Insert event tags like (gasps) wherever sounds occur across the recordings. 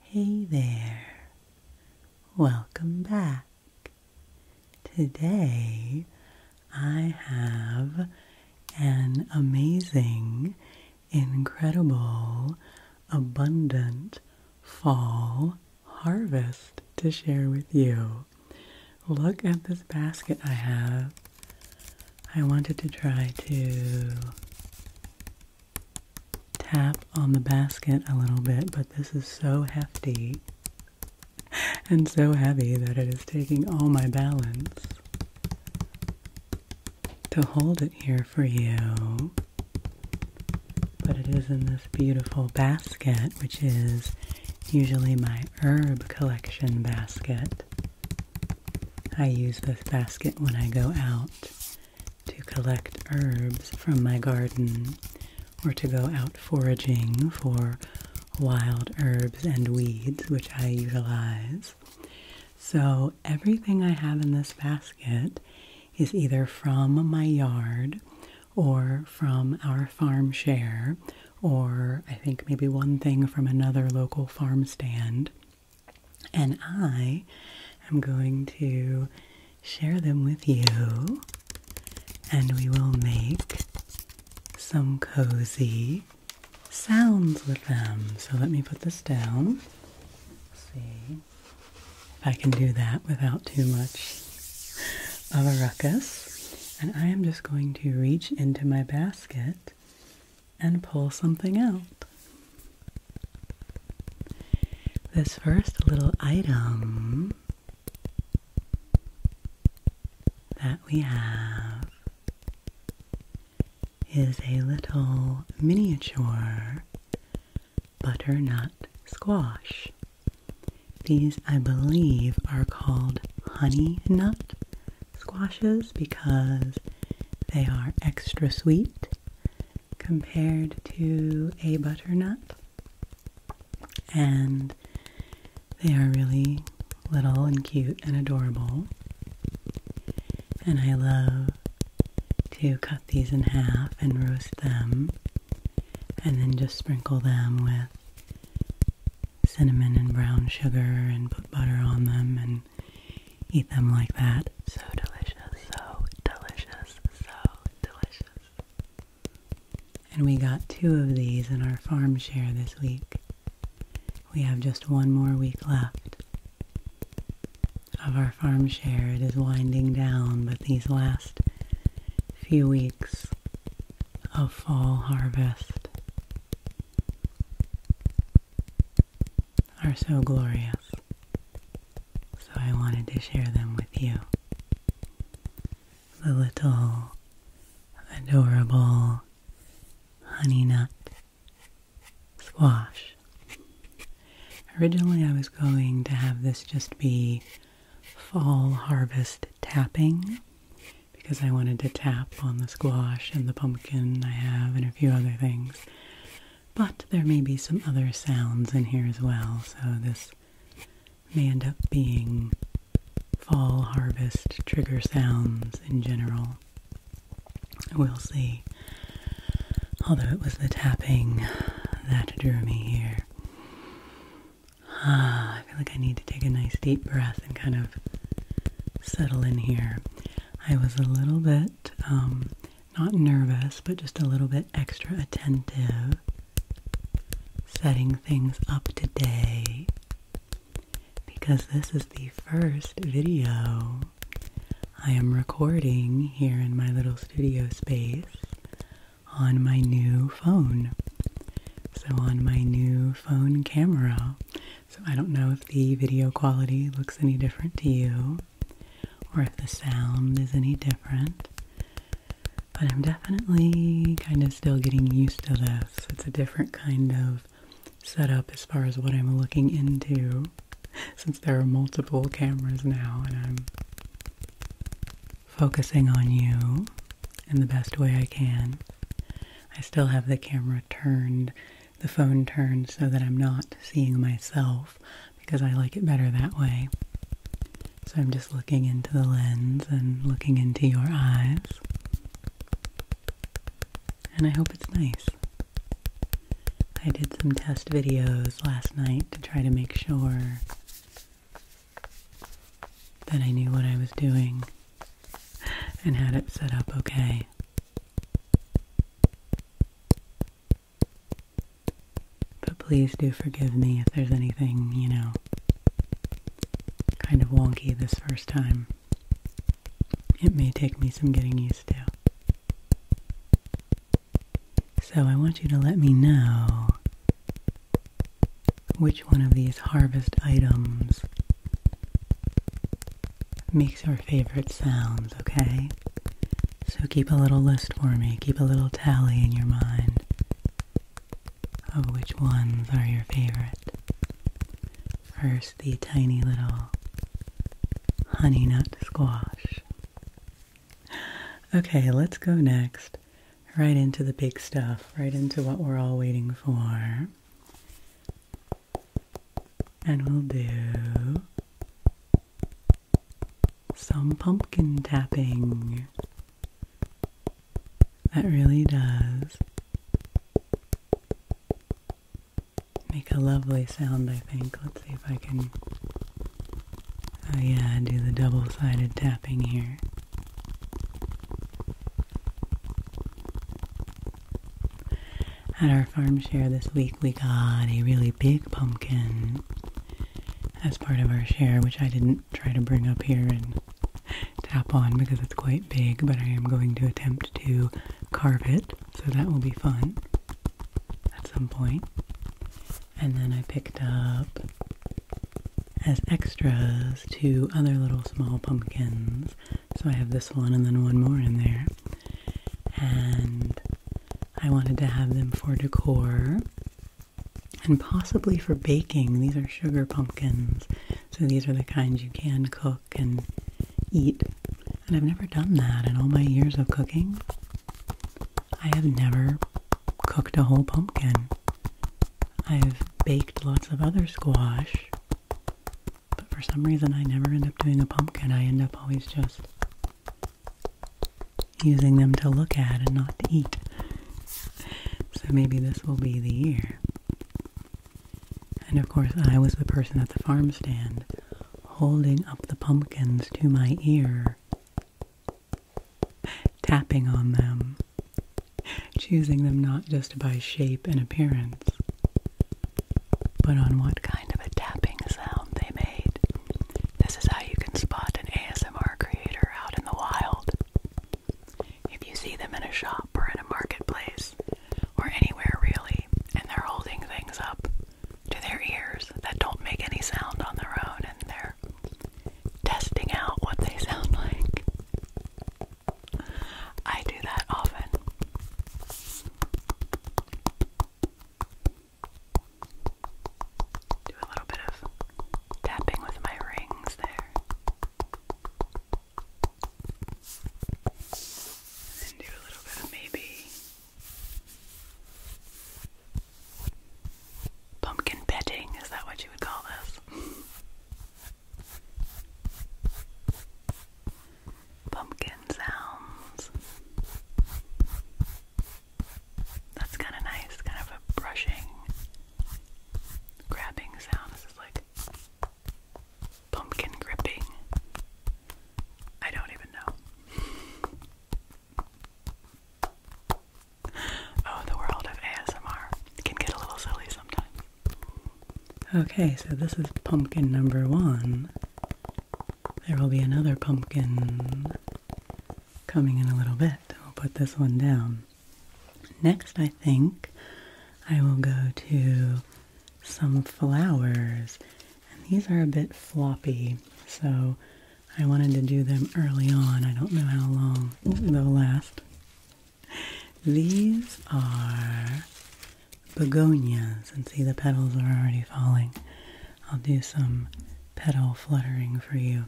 Hey there, welcome back. Today I have an amazing, incredible, abundant fall harvest to share with you. Look at this basket I have. I wanted to try to tap on the basket a little bit, but this is so hefty and so heavy that it is taking all my balance to hold it here for you. But it is in this beautiful basket, which is usually my herb collection basket. I use this basket when I go out to collect herbs from my garden or to go out foraging for wild herbs and weeds, which I utilize. So, everything I have in this basket is either from my yard or from our farm share, or I think maybe one thing from another local farm stand and I am going to share them with you, and we will make some cozy sounds with them. So let me put this down. see if I can do that without too much of a ruckus. And I am just going to reach into my basket and pull something out. This first little item that we have is a little miniature butternut squash. These, I believe, are called honey nut squashes because they are extra sweet compared to a butternut, and they are really little and cute and adorable. And I love to cut these in half and roast them, and then just sprinkle them with cinnamon and brown sugar and put butter on them and eat them like that. So delicious, so delicious, so delicious. And we got two of these in our farm share this week. We have just one more week left of our farm share. It is winding down, but these last few weeks of fall harvest are so glorious, so I wanted to share them with you. The little adorable honey nut squash. Originally, I was going to have this just be fall harvest tapping because I wanted to tap on the squash and the pumpkin I have and a few other things. But there may be some other sounds in here as well, so this may end up being fall harvest trigger sounds in general. We'll see. Although it was the tapping that drew me here. Ah, I feel like I need to take a nice deep breath and kind of settle in here. I was a little bit um, not nervous, but just a little bit extra attentive, setting things up today because this is the first video I am recording here in my little studio space on my new phone. So, on my new phone camera. So, I don't know if the video quality looks any different to you or if the sound is any different. But I'm definitely kind of still getting used to this. It's a different kind of setup as far as what I'm looking into (laughs) since there are multiple cameras now and I'm focusing on you in the best way I can. I still have the camera turned the phone turns so that I'm not seeing myself because I like it better that way. So I'm just looking into the lens and looking into your eyes. And I hope it's nice. I did some test videos last night to try to make sure that I knew what I was doing and had it set up okay. But please do forgive me if there's anything, you know, kind of wonky this first time. It may take me some getting used to. So I want you to let me know which one of these harvest items makes your favorite sounds, okay? So keep a little list for me, keep a little tally in your mind of which ones are your favorite. First, the tiny little honey nut squash. Okay, let's go next, right into the big stuff, right into what we're all waiting for and we'll do some pumpkin tapping. That really does make a lovely sound, I think. Let's see if I can. Oh, yeah, do the double sided tapping here. At our farm share this week, we got a really big pumpkin as part of our share, which I didn't try to bring up here and tap on because it's quite big, but I am going to attempt to carve it, so that will be fun at some point. And then I picked up as extras two other little small pumpkins. So I have this one and then one more in there. And I wanted to have them for decor and possibly for baking. These are sugar pumpkins, so these are the kinds you can cook and eat. And I've never done that in all my years of cooking. I have never cooked a whole pumpkin. I've baked lots of other squash, but for some reason I never end up doing a pumpkin. I end up always just using them to look at and not to eat. So maybe this will be the year. And of course, I was the person at the farm stand holding up the pumpkins to my ear, tapping on them, choosing them not just by shape and appearance, but on what kind of a tapping sound they made. This is how you can spot an ASMR creator out in the wild. If you see them in a shop or in a marketplace, or anywhere really, and they're holding things up to their ears that don't make any sound on their own, and they're testing out what they (laughs) sound like. I do that often. Do a little bit of tapping with my rings there. And do a little bit of maybe pumpkin petting, is that what you would call this? pumpkin sounds. That's kind of nice, kind of a brushing, grabbing sound. This is like pumpkin gripping. I don't even know. Oh, the world of ASMR can get a little silly sometimes. Okay, so this is pumpkin number one. There will be another pumpkin coming in a little bit. I'll put this one down. Next, I think I will go to some flowers. And these are a bit floppy, so I wanted to do them early on. I don't know how long they'll last. (laughs) These are begonias and see the petals are already falling. I'll do some petal fluttering for you.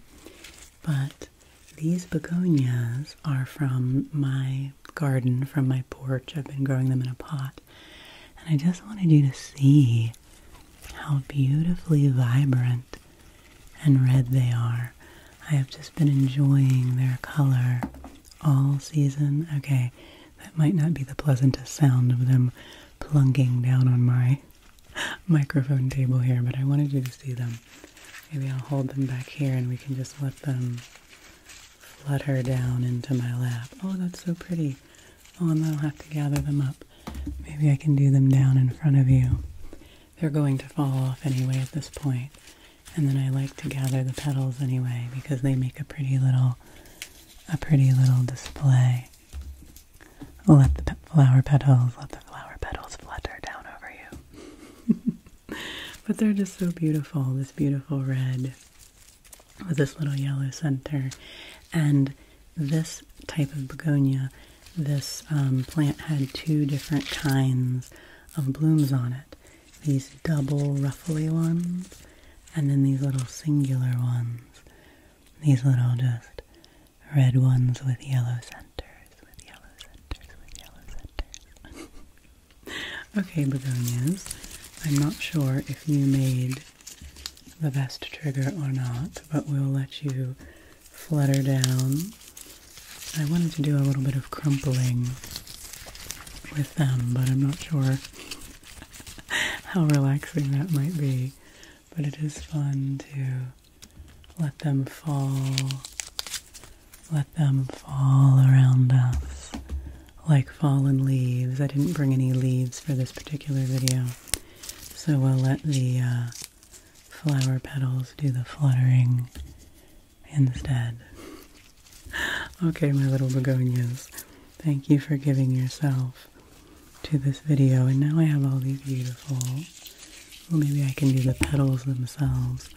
But these begonias are from my garden, from my porch. I've been growing them in a pot. And I just wanted you to see how beautifully vibrant and red they are. I have just been enjoying their color all season. Okay, that might not be the pleasantest sound of them plunking down on my (laughs) microphone table here, but I wanted you to see them. Maybe I'll hold them back here and we can just let them flutter down into my lap. Oh, that's so pretty. Oh, and I'll have to gather them up. Maybe I can do them down in front of you. They're going to fall off anyway at this point. And then I like to gather the petals anyway because they make a pretty little a pretty little display. Let the flower petals, let the flower petals flutter down over you. (laughs) but they're just so beautiful, this beautiful red with this little yellow center. And this type of begonia, this um, plant had two different kinds of blooms on it. These double ruffly ones and then these little singular ones, these little just red ones with yellow centers, with yellow centers, with yellow centers. (laughs) okay, begonias, I'm not sure if you made the best trigger or not, but we'll let you flutter down. I wanted to do a little bit of crumpling with them, but I'm not sure (laughs) how relaxing that might be. But it is fun to let them fall, let them fall around us like fallen leaves. I didn't bring any leaves for this particular video, so we'll let the uh, flower petals do the fluttering instead. (laughs) Okay, my little begonias. Thank you for giving yourself to this video. And now I have all these beautiful, well maybe I can do the petals themselves.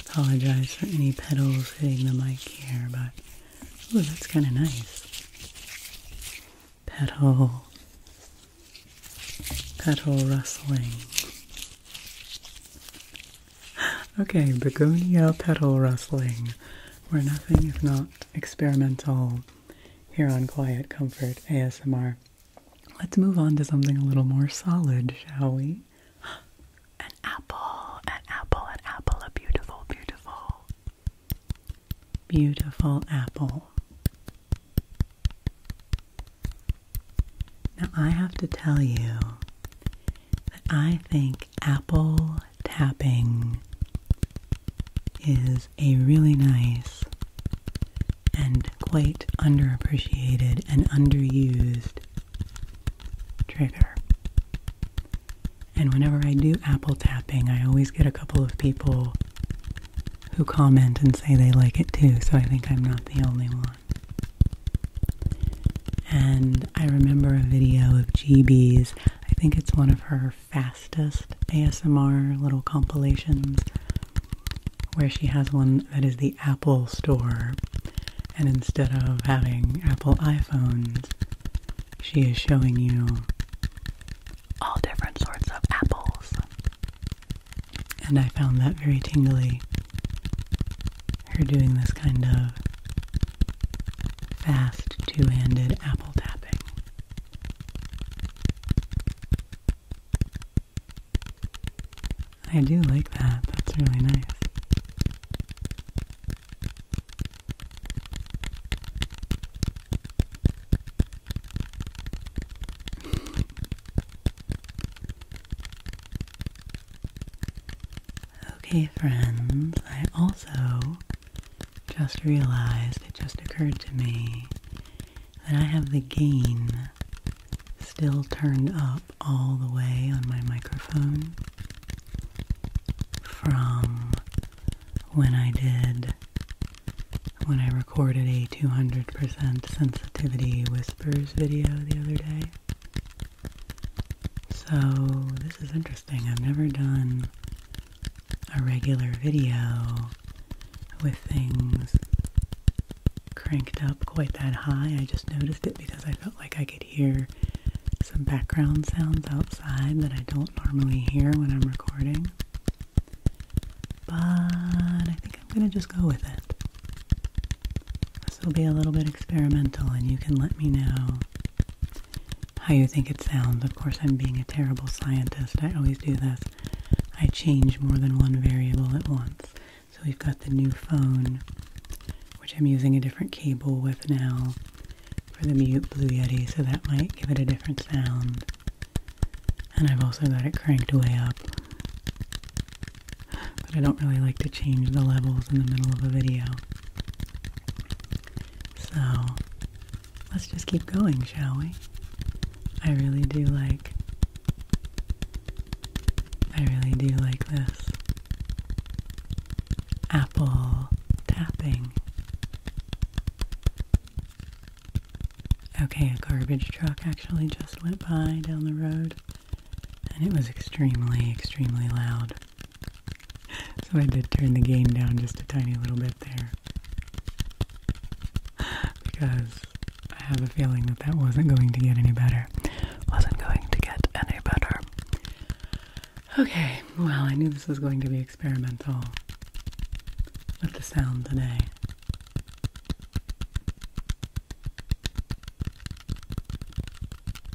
Apologize for any petals hitting the mic here, but ooh, that's kind of nice. Petal, petal rustling. (gasps) Okay, begonia petal rustling. We're nothing if not experimental here on Quiet Comfort ASMR. Let's move on to something a little more solid, shall we? (gasps) An apple, an apple, an apple, a beautiful, beautiful, beautiful apple. Now, I have to tell you, I think apple tapping is a really nice and quite underappreciated and underused trigger. And whenever I do apple tapping, I always get a couple of people who comment and say they like it too, so I think I'm not the only one. And I remember a video of GB's I think it's one of her fastest ASMR little compilations where she has one that is the Apple Store. And instead of having Apple iPhones, she is showing you all different sorts of apples. And I found that very tingly. Her doing this kind of Fast two-handed apple tapping. I do like that. That's really nice. (laughs) okay, friends, I also just realized, it just occurred to me, that I have the gain still turned up all the way on my microphone from when I did, when I recorded a 200% sensitivity whispers video the other day. So this is interesting. Thing I've never done a regular video with things cranked up quite that high. I just noticed it because I felt like I could hear some background sounds outside that I don't normally hear when I'm recording. But I think I'm going to just go with it. This will be a little bit experimental, and you can let me know how you think it sounds. Of course, I'm being a terrible scientist. I always do this. I change more than one variable at once. So we've got the new phone, which I'm using a different cable with now for the mute Blue Yeti, so that might give it a different sound. And I've also got it cranked way up. But I don't really like to change the levels in the middle of a video. So let's just keep going, shall we? I really do like. I really do like this. Apple tapping. Okay, a garbage truck actually just went by down the road and it was extremely, extremely loud. (laughs) so I did turn the gain down just a tiny little bit there. (gasps) Because I have a feeling that that wasn't going to get any better. Wasn't going to get any better. Okay, well, I knew this was going to be experimental with the sound today.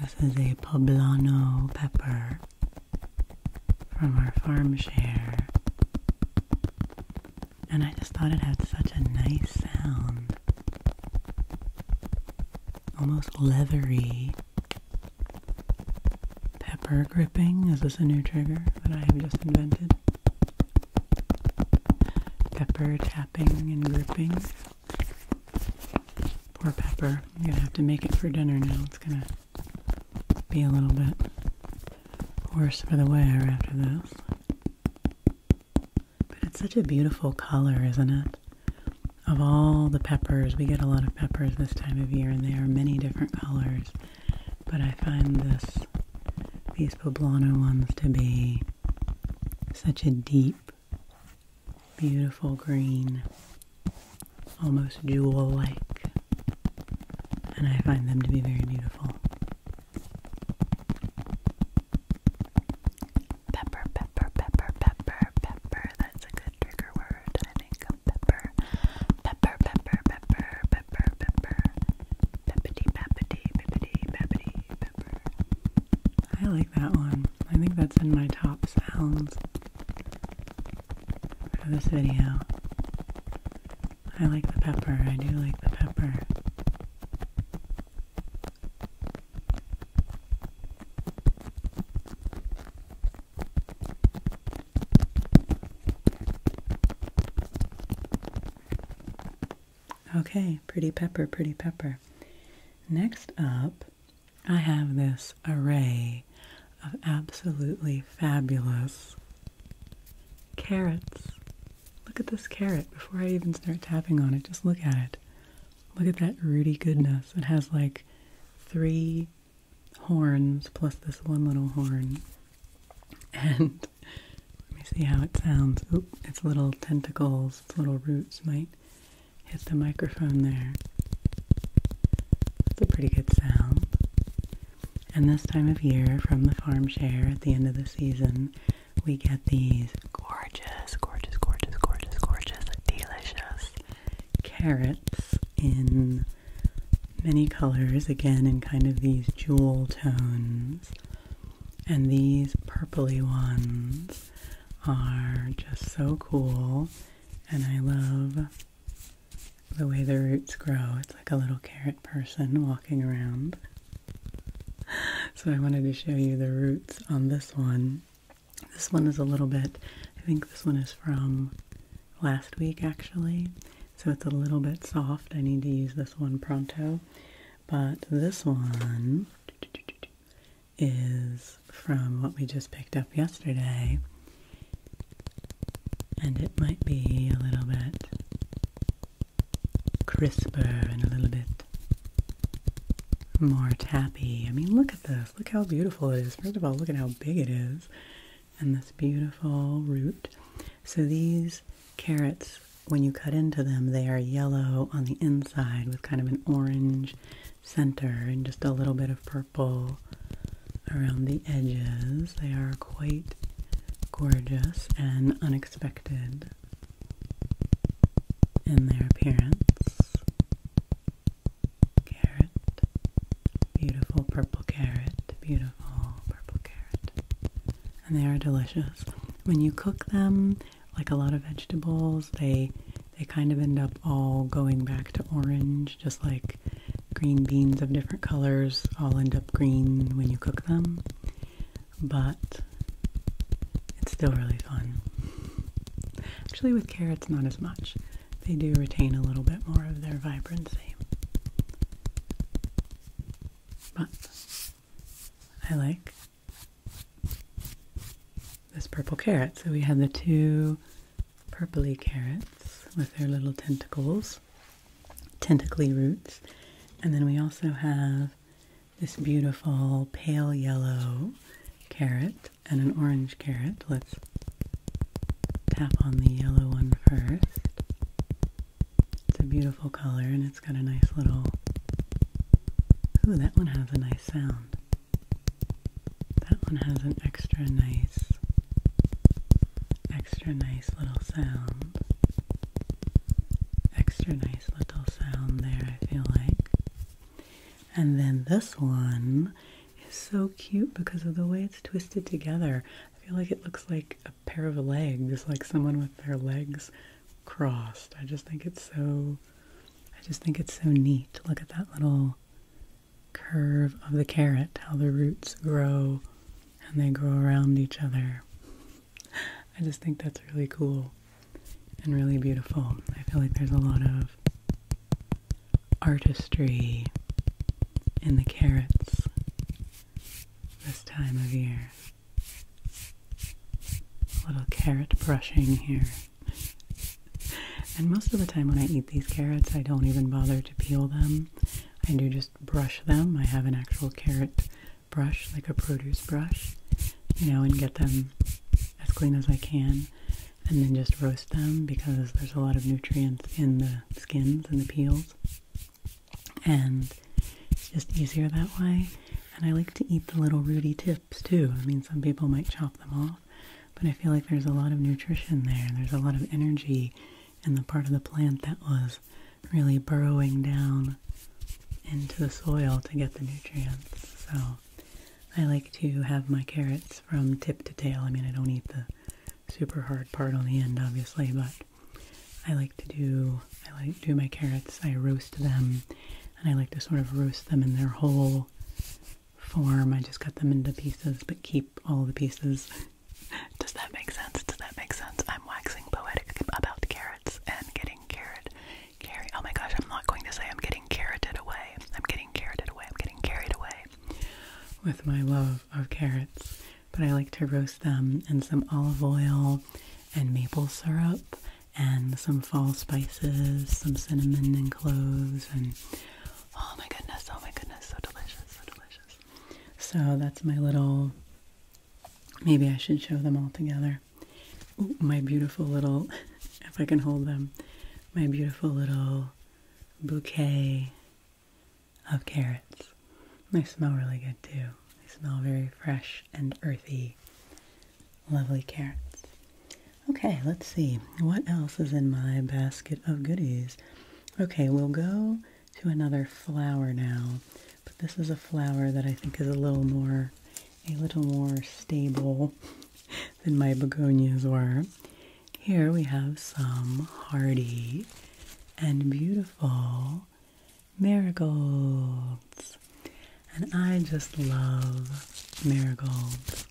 This is a poblano pepper from our farm share. And I just thought it had such a nice sound. Almost leathery. Pepper gripping. Is this a new trigger that I have just invented? Pepper tapping and gripping. Poor Pepper. I'm gonna have to make it for dinner now. It's gonna be a little bit worse for the wear after this. But it's such a beautiful color, isn't it? Of all the peppers, we get a lot of peppers this time of year, and they are many different colors. But I find this these poblano ones to be such a deep Beautiful green, almost jewel like, and I find them to be very beautiful. Pepper, pepper, pepper, pepper, pepper. That's a good trigger word, I think. Pepper, pepper, pepper, pepper, pepper, pepper. Peppity, peppity, peppity, peppity, pepper. I like that one. I think that's in my top sounds for this video. I like the pepper. I do like the pepper. Okay, pretty pepper, pretty pepper. Next up I have this array of absolutely fabulous carrots. Look at this carrot before I even start tapping on it. Just look at it. Look at that rooty goodness. It has like three horns plus this one little horn. And (laughs) let me see how it sounds. Oop, its little tentacles, its little roots mate hit the microphone there. That's a pretty good sound. And this time of year, from the farm share at the end of the season, we get these gorgeous, gorgeous, gorgeous, gorgeous, gorgeous, delicious carrots in many colors, again in kind of these jewel tones. And these purpley ones are just so cool, and I love the way the roots grow. It's like a little carrot person walking around. (laughs) So I wanted to show you the roots on this one. This one is a little bit, I think this one is from last week actually. So it's a little bit soft. I need to use this one pronto. But this one is from what we just picked up yesterday, and it might be a little bit crisper and a little bit more tappy. I mean, look at this. Look how beautiful it is. First of all, look at how big it is, and this beautiful root. So, these carrots, when you cut into them, they are yellow on the inside with kind of an orange center and just a little bit of purple around the edges. They are quite gorgeous and unexpected in their appearance. Carrot, beautiful purple carrot, beautiful purple carrot. And they are delicious. When you cook them, like a lot of vegetables, they they kind of end up all going back to orange, just like green beans of different colors all end up green when you cook them. But it's still really fun. Actually, with carrots, not as much. They do retain a little bit more of their vibrancy. But I like this purple carrot. So we have the two purpley carrots with their little tentacles, tentacly roots. And then we also have this beautiful pale yellow carrot and an orange carrot. Let's tap on the yellow one first. It's a beautiful color and it's got a nice little. Ooh, that one has a nice sound. That one has an extra nice, extra nice little sound. Extra nice little sound there, I feel like. And then this one is so cute because of the way it's twisted together. I feel like it looks like a pair of legs, like someone with their legs crossed. I just think it's so I just think it's so neat. Look at that little curve of the carrot, how the roots grow and they grow around each other. (laughs) I just think that's really cool and really beautiful. I feel like there's a lot of artistry in the carrots this time of year. little carrot brushing here and most of the time when I eat these carrots, I don't even bother to peel them. I do just brush them. I have an actual carrot brush, like a produce brush, you know, and get them as clean as I can. And then just roast them because there's a lot of nutrients in the skins and the peels. And it's just easier that way. And I like to eat the little rooty tips too. I mean, some people might chop them off, but I feel like there's a lot of nutrition there. There's a lot of energy in the part of the plant that was really burrowing down into the soil to get the nutrients. So I like to have my carrots from tip to tail. I mean, I don't eat the super hard part on the end, obviously, but I like to do I like do my carrots. I roast them, and I like to sort of roast them in their whole form. I just cut them into pieces, but keep all the pieces. (laughs) Does that make sense? Does that make sense? I'm waxing poetic about carrots and getting carrot carry. Oh my gosh, I'm not going to say I'm getting carroted away. I'm getting carroted away. I'm getting carried away with my love of carrots. But I like to roast them in some olive oil and maple syrup and some fall spices, some cinnamon and cloves, and oh my goodness, oh my goodness, so delicious, so delicious. So that's my little. Maybe I should show them all together. my beautiful little, (laughs) if I can hold them, my beautiful little bouquet of carrots. They smell really good too. They smell very fresh and earthy lovely, carrots. Okay, let's see. What else is in my basket of goodies? Okay, we'll go to another flower now. But this is a flower that I think is a little more, a little more stable (laughs) than my begonias were. Here we have some hardy and beautiful marigolds and I just love marigolds.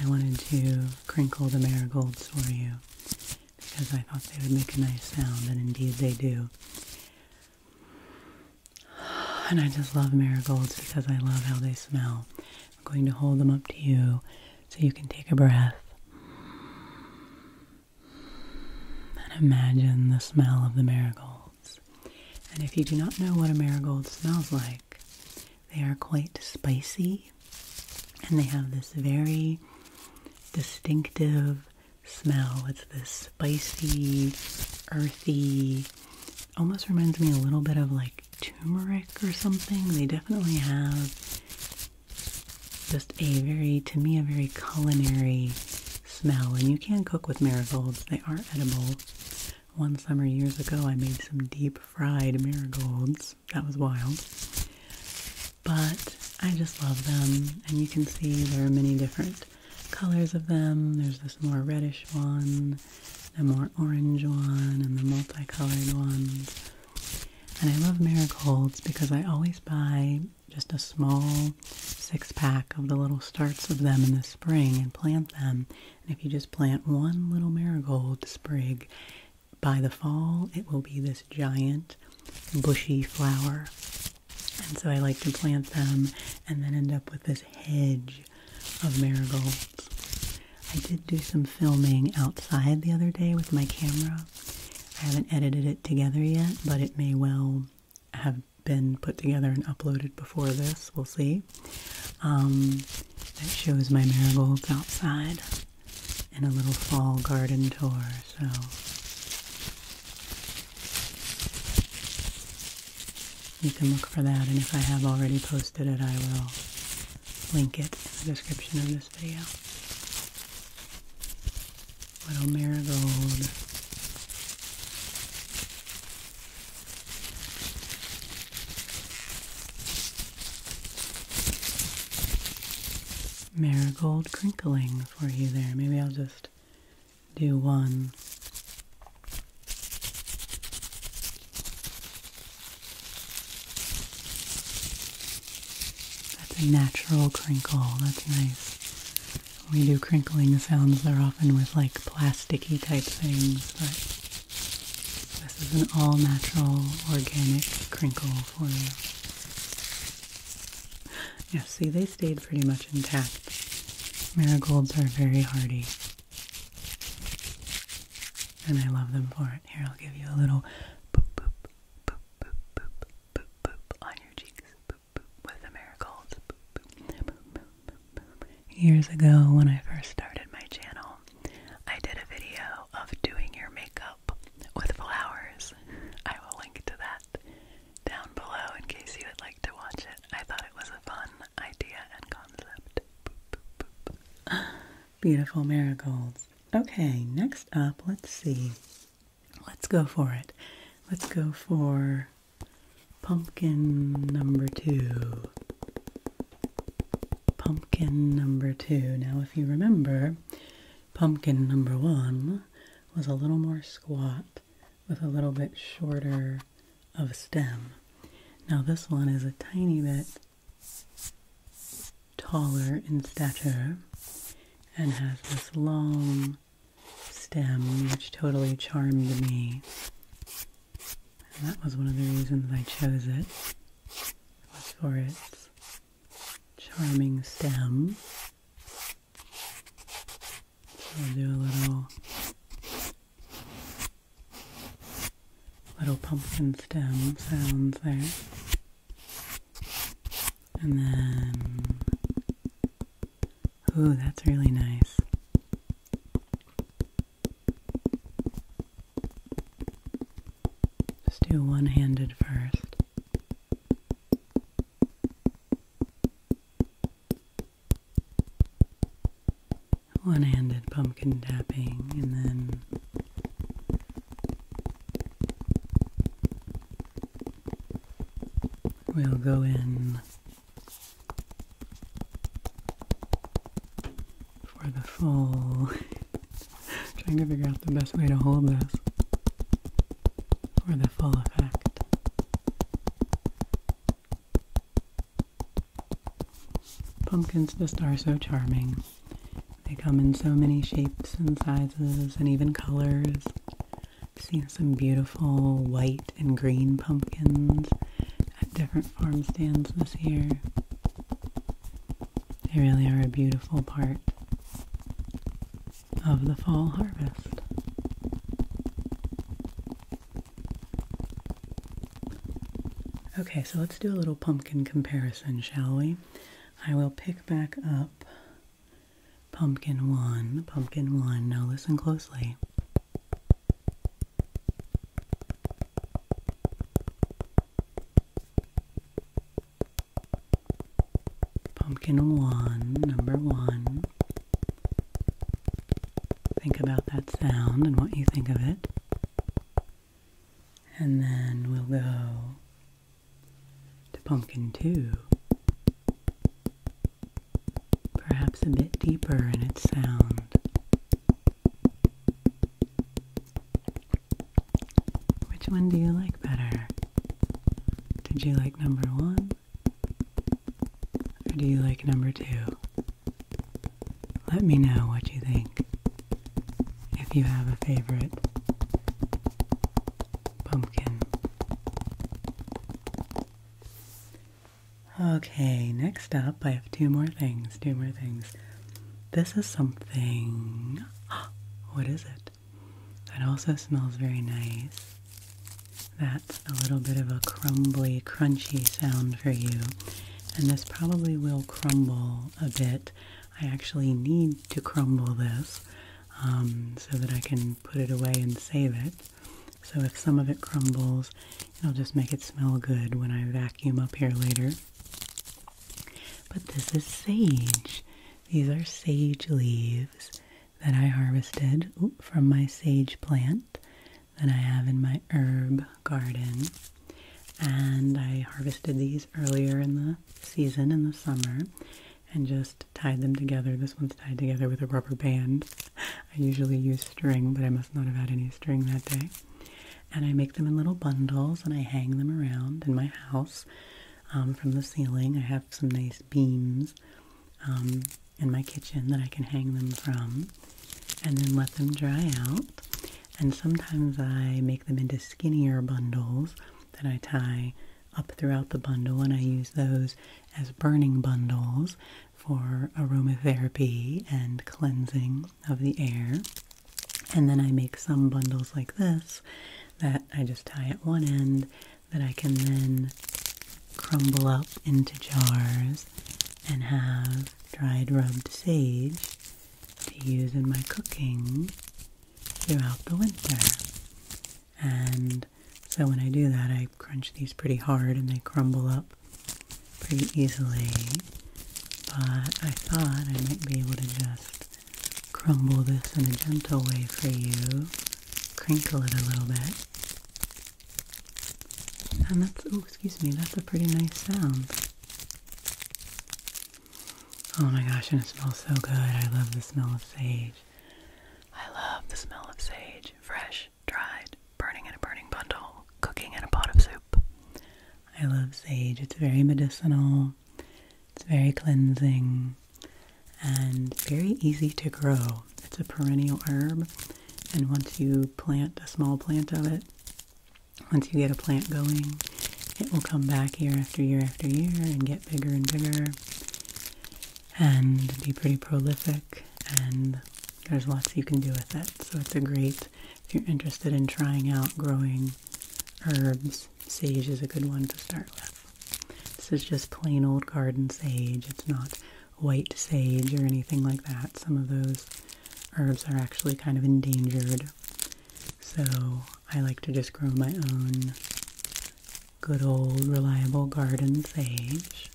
I wanted to crinkle the marigolds for you because I thought they would make a nice sound, and indeed they do. And I just love marigolds because I love how they smell. I'm going to hold them up to you so you can take a breath. And imagine the smell of the marigolds. And if you do not know what a marigold smells like, they are quite spicy and they have this very distinctive smell. It's this spicy, earthy, almost reminds me a little bit of like turmeric or something. They definitely have just a very, to me, a very culinary smell. And you can cook with marigolds, they are edible. One summer years ago, I made some deep fried marigolds. That was wild. But I just love them, and you can see there are many different colors of them. There's this more reddish one, the more orange one, and the multicolored ones. And I love marigolds because I always buy just a small six pack of the little starts of them in the spring and plant them and if you just plant one little marigold sprig, by the fall it will be this giant bushy flower. And so I like to plant them and then end up with this hedge of marigolds. I did do some filming outside the other day with my camera. I haven't edited it together yet, but it may well have been put together and uploaded before this. We'll see. that um, shows my marigolds outside and a little fall garden tour. So. You can look for that, and if I have already posted it, I will link it in the description of this video. Little marigold. Marigold crinkling for you there. Maybe I'll just do one. That's a natural crinkle. That's nice. When we do crinkling sounds, they're often with like plasticky type things, but this is an all natural organic crinkle for you. Yeah, see, they stayed pretty much intact. Marigolds are very hardy. And I love them for it. Here, I'll give you a little boop, boop, boop, boop, boop, boop, boop on your cheeks. with the marigolds. Years ago, when I first started my channel, I did a video of doing your makeup with flowers. I will link to that down below in case you would like to watch it. I thought it was a fun idea and concept. (gasps) Beautiful marigolds. Okay, next up, let's see. Let's go for it. Let's go for Pumpkin number two. Pumpkin number two. Now, if you remember, pumpkin number one was a little more squat with a little bit shorter of stem. Now, this one is a tiny bit taller in stature and has this long stem, which totally charmed me that was one of the reasons I chose it, It was for its charming stem. i will do a little, little pumpkin stem sounds there. And then Ooh, that's really nice. Just do one handed first. One handed pumpkin tapping, and then we'll go in for the fall, (laughs) trying to figure out the best way to hold this for the full effect. Pumpkins just are so charming. They come in so many shapes and sizes and even colors. I've seen some beautiful white and green pumpkins at different farm stands this year. They really are a beautiful part of the fall harvest. Okay, so let's do a little pumpkin comparison, shall we? I will pick back up pumpkin 1, pumpkin 1. Now listen closely. Pumpkin one, number one. Think about that sound and what you think of it. And then we'll go to pumpkin two perhaps a bit deeper in its sound. Which one do you like better? Did you like number one? Or do you like number two? Let me know what you think. If you have a favorite pumpkin. Okay, next up, I have two more things. Two more things. This is something. (gasps) What is it? That also smells very nice. That's a little bit of a crumbly, crunchy sound for you. And this probably will crumble a bit. I actually need to crumble this um, so that I can put it away and save it. So if some of it crumbles, it'll just make it smell good when I vacuum up here later. But this is sage. These are sage leaves that I harvested from my sage plant that I have in my herb garden. And I harvested these earlier in the season, in the summer, and just tied them together. This one's tied together with a rubber band. (laughs) I usually use string, but I must not have had any string that day. And I make them in little bundles and I hang them around in my house um, from the ceiling. I have some nice beams um, in my kitchen that I can hang them from and then let them dry out. And sometimes I make them into skinnier bundles that I tie up throughout the bundle and I use those as burning bundles for aromatherapy and cleansing of the air. And then I make some bundles like this that I just tie at one end that I can then crumble up into jars and have dried rubbed sage to use in my cooking throughout the winter. And so when I do that, I crunch these pretty hard and they crumble up pretty easily. But I thought I might be able to just crumble this in a gentle way for you, crinkle it a little bit. And that's, oh, excuse me, that's a pretty nice sound. Oh my gosh, and it smells so good. I love the smell of sage. I love the smell of sage, fresh dried, burning in a burning bundle, cooking in a pot of soup. I love sage. It's very medicinal, it's very cleansing, and very easy to grow. It's a perennial herb, and once you plant a small plant of it, once you get a plant going, it will come back year after year after year and get bigger and bigger and be pretty prolific and there's lots you can do with it. So it's a great, if you're interested in trying out growing herbs, sage is a good one to start with. This is just plain old garden sage. It's not white sage or anything like that. Some of those herbs are actually kind of endangered. So I like to just grow my own good old reliable garden sage.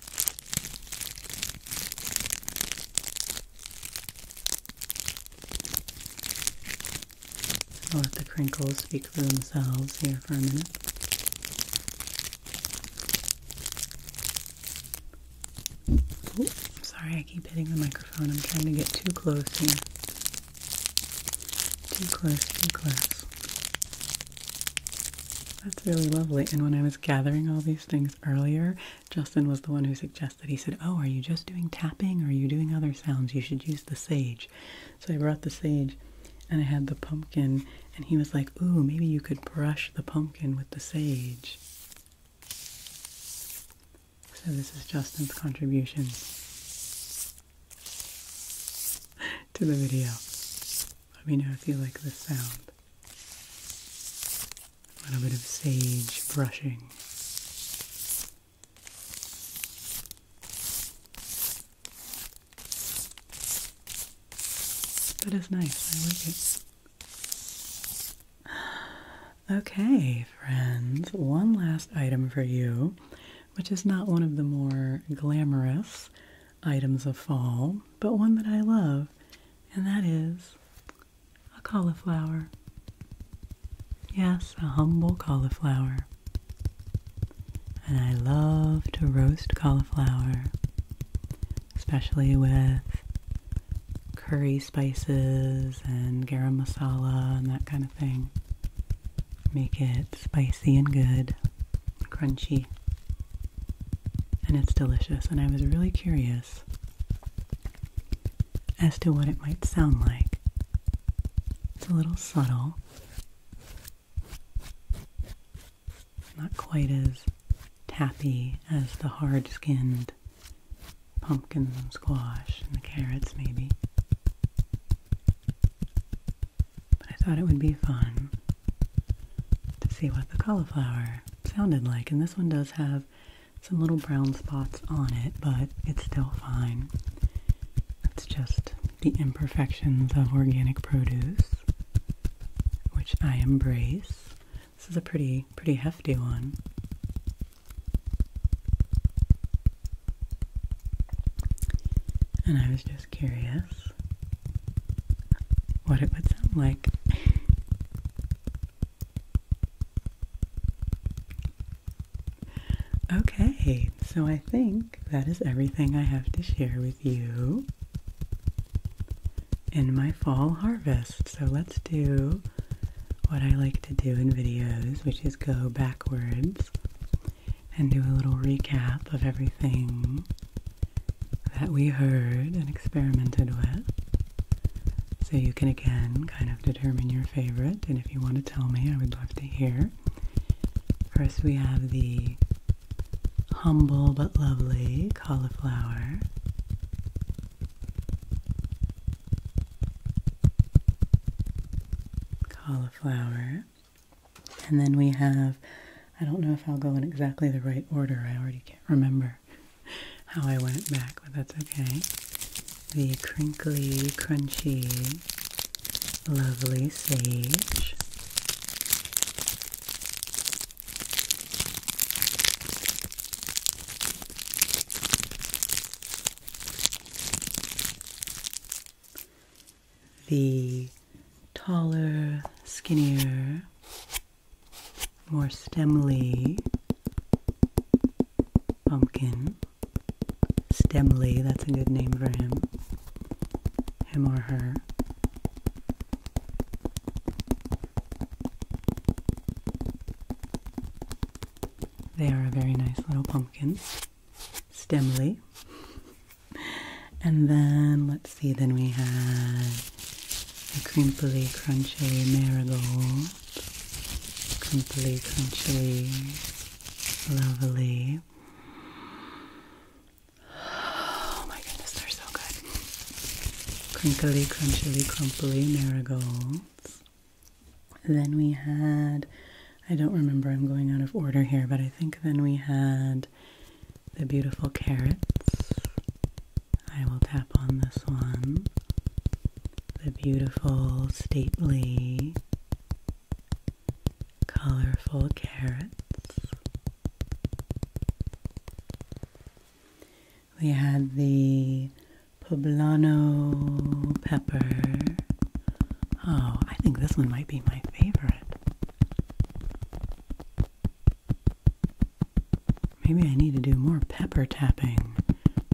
I'll let the crinkles speak for themselves here for a minute. sorry, I keep hitting the microphone. I'm trying to get too close here. Too close, too close. That's really lovely. And when I was gathering all these things earlier, Justin was the one who suggested, he said, Oh, are you just doing tapping or are you doing other sounds? You should use the sage. So I brought the sage and I had the pumpkin, and he was like, Ooh, maybe you could brush the pumpkin with the sage. So this is Justin's contribution (laughs) to the video. Let me know if you like the sound. A little bit of sage brushing. That is nice. I like it. Okay, friends, one last item for you, which is not one of the more glamorous items of fall, but one that I love, and that is a cauliflower. Yes, a humble cauliflower. And I love to roast cauliflower, especially with curry spices and garam masala and that kind of thing. Make it spicy and good, crunchy and it's delicious. And I was really curious as to what it might sound like. It's a little subtle, not quite as tappy as the hard skinned pumpkin squash and the carrots, maybe. But I thought it would be fun to see what the cauliflower sounded like. And this one does have some little brown spots on it, but it's still fine. It's just the imperfections of organic produce, which I embrace. This is a pretty, pretty hefty one. And I was just curious what it would sound like. okay, so I think that is everything I have to share with you in my fall harvest. So let's do what I like to do in videos, which is go backwards and do a little recap of everything that we heard and experimented with. So you can again kind of determine your favorite, and if you want to tell me, I would love to hear. First, we have the humble but lovely cauliflower. Cauliflower. And then we have I don't know if I'll go in exactly the right order. I already can't remember how I went back, but that's okay. The crinkly, crunchy, lovely sage. The taller, skinnier, more stemly pumpkin. Stemly, that's a good name for him. Him or her. They are a very nice little pumpkin. Stemly and then let's see, then we had a crimply, crunchy marigold, crimply, crunchy, lovely. Oh my goodness, they're so good. Crinkly, crunchily, crumply marigolds. Then we had, I don't remember, I'm going out of order here, but I think then we had the beautiful carrots. I will tap on this one. The beautiful, stately, colorful carrots. We had the poblano pepper. Oh, I think this one might be my favorite. Maybe I need to do more pepper tapping.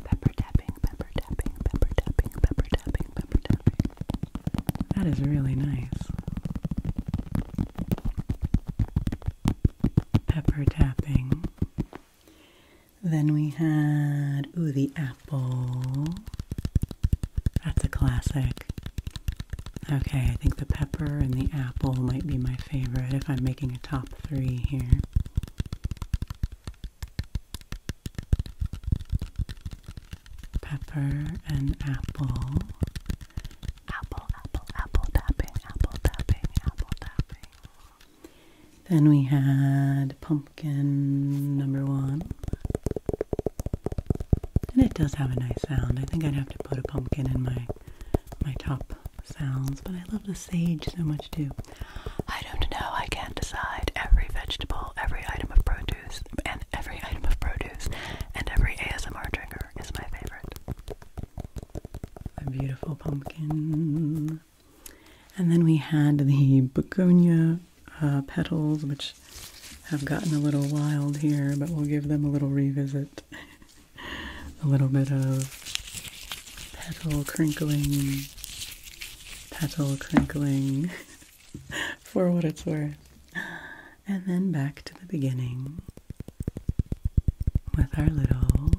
Pepper tapping, pepper tapping, pepper tapping, pepper tapping, pepper tapping. That is really nice. Pepper tapping. Then we had, ooh, the apple. That's a classic. Okay, I think the pepper and the apple might be my favorite if I'm making a top three here. Pepper and apple. Apple, apple, apple tapping, apple tapping, apple tapping. Then we had pumpkin number one. And it does have a nice sound. I think I'd have to put a pumpkin in my my top sounds, but I love the sage so much too. I don't know, I can't decide. Every vegetable, every item of produce, and every item of produce, and every ASMR drinker is my favorite. A beautiful pumpkin. And then we had the begonia uh, petals, which have gotten a little wild here, but we'll give them a little revisit. (laughs) a little bit of petal crinkling, petal crinkling (laughs) for what it's worth. And then back to the beginning with our little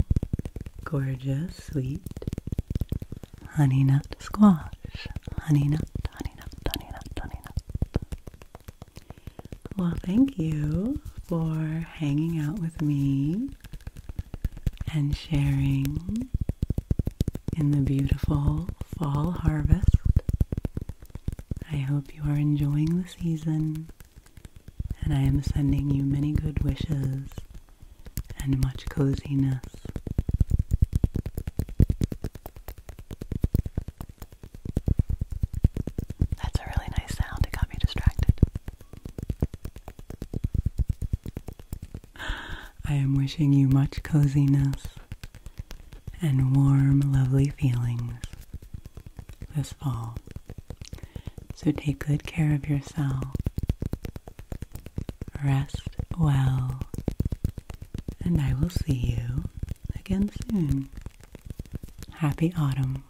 gorgeous, sweet honey nut squash. Honey nut, honey nut, honey nut, honey nut. Well, thank you for hanging out with me and sharing in the beautiful fall harvest. I hope you are enjoying the season, and I am sending you many good wishes and much coziness. That's a really nice sound. It got me distracted. I am wishing you much coziness and warm, lovely feelings this fall. So take good care of yourself. Rest well. And I will see you again soon. Happy autumn.